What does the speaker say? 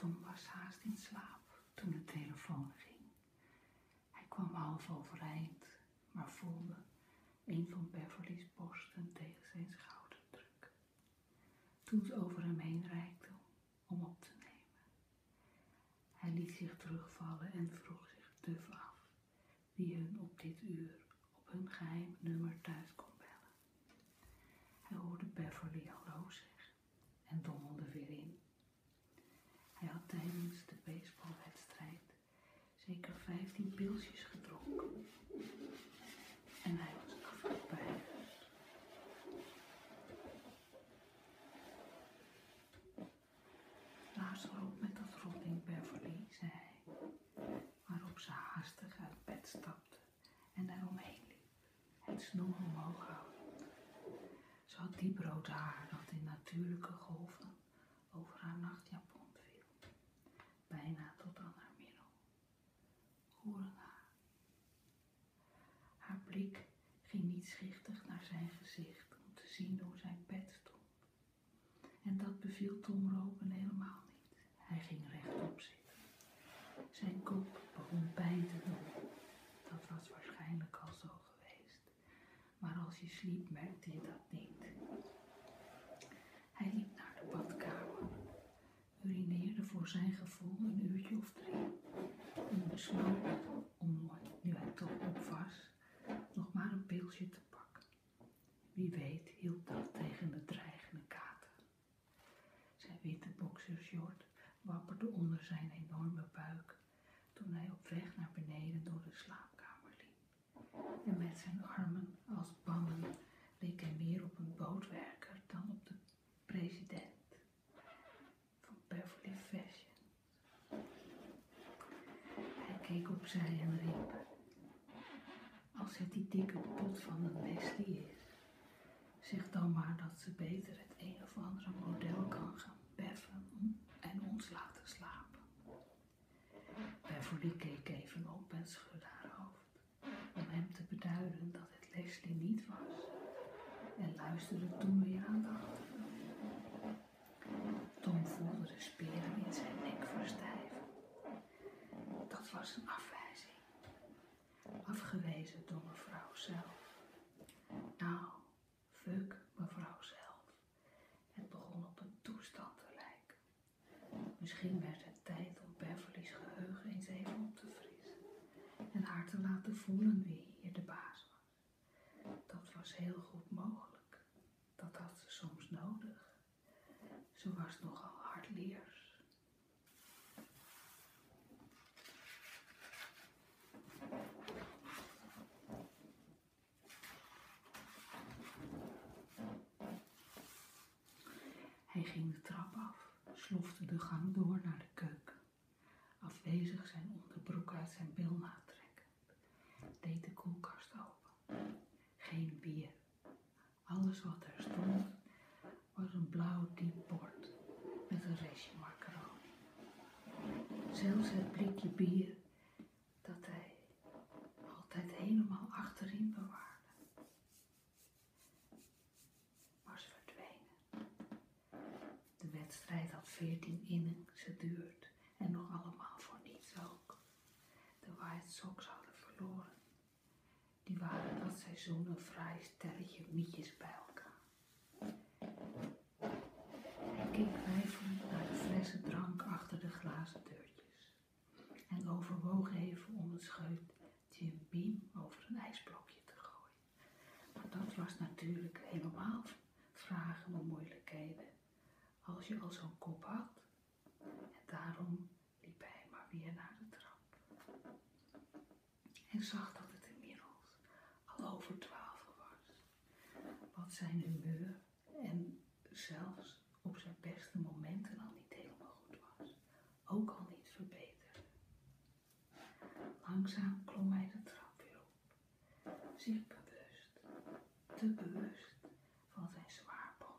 Tom was haast in slaap toen de telefoon ging. Hij kwam half overeind maar voelde een van Beverly's borsten tegen zijn schouder druk. Toen ze over hem heen reikte om op te nemen. Hij liet zich terugvallen en vroeg zich duf af wie hun op dit uur op hun geheim nummer thuis kon bellen. Hij hoorde Beverly hallo zeggen en dommelde weer in. Hij had tijdens de baseballwedstrijd zeker 15 pilsjes gedronken. En hij was afgepeigerd. Lazaro met dat rotting Beverly, zei hij, waarop ze haastig uit bed stapte en daaromheen liep, het snoer omhoog houden. Zo had dieprode haar dat in natuurlijke golven over haar nachtjapon viel, bijna tot aan haar middel. Hoerenhaar. Haar blik ging niet schichtig naar zijn gezicht om te zien hoe zijn pet stond. En dat beviel Tom Ropen helemaal niet. Hij ging rechtop zitten. Zijn kop begon pijn te doen. Dat was waarschijnlijk al zo geweest. Maar als je sliep, merkte je dat niet. Hij liep naar de badkamer, urineerde voor zijn gevoel een uurtje of drie en besloot om, nu hij toch op was, nog maar een pilsje te pakken. Wie weet hielp dat tegen de dreigende kater. Zijn witte boxershort wapperde onder zijn enorme buik toen hij op weg naar beneden door de slaapkamer liep. En met zijn armen als bangen leek hij meer op een bootwerker dan op de president van Beverly Fashion. Hij keek opzij en riep: Als het die dikke pot van een Wesley is, Zeg dan maar dat ze beter het een of andere model kan gaan beffen en ons laten slapen. die keek even op en schudde haar hoofd om hem te beduiden dat het Leslie niet was en luisterde toen weer aandachtig. Tom voelde de speren in zijn nek verstijven. Dat was een afwijzing afgewezen door mevrouw zelf. Nou, fuck mevrouw zelf. Het begon op een toestand te lijken. Misschien werd het tijd om Beverly's geheugen eens even op te frissen en haar te laten voelen wie hier de baas was. Dat was heel goed mogelijk. Dat had ze soms nodig. Ze was nogal hard leers. Hij ging de trap af, slofte de gang door naar de keuken, afwezig zijn onderbroek uit zijn bilnaad trekken, deed de koelkast open. Geen bier, alles wat er stond was een blauw diep bord met een restje macaroni. Zelfs het blikje bier dat hij altijd helemaal achterin bewaarde. was verdwenen. De wedstrijd had veertien innings duurt en nog allemaal voor niets ook de White Sox hadden verloren. Die waren dat seizoen een vrij stelletje mietjes bij elkaar. Hij keek twijfelend naar de flessen drank achter de glazen deurtjes en overwoog even om het scheut Jim Beam over een ijsblokje te gooien. Maar dat was natuurlijk helemaal vragen om moeilijkheden als je al zo'n kop had. En daarom liep hij maar weer naar de trap. En zag dat het inmiddels al over twaalf was. Wat zijn humeur en zelfs op zijn beste momenten al niet helemaal goed was. Ook al niet verbeterd. Langzaam klom hij de trap weer op zich bewust, te bewust van zijn zwaar hart.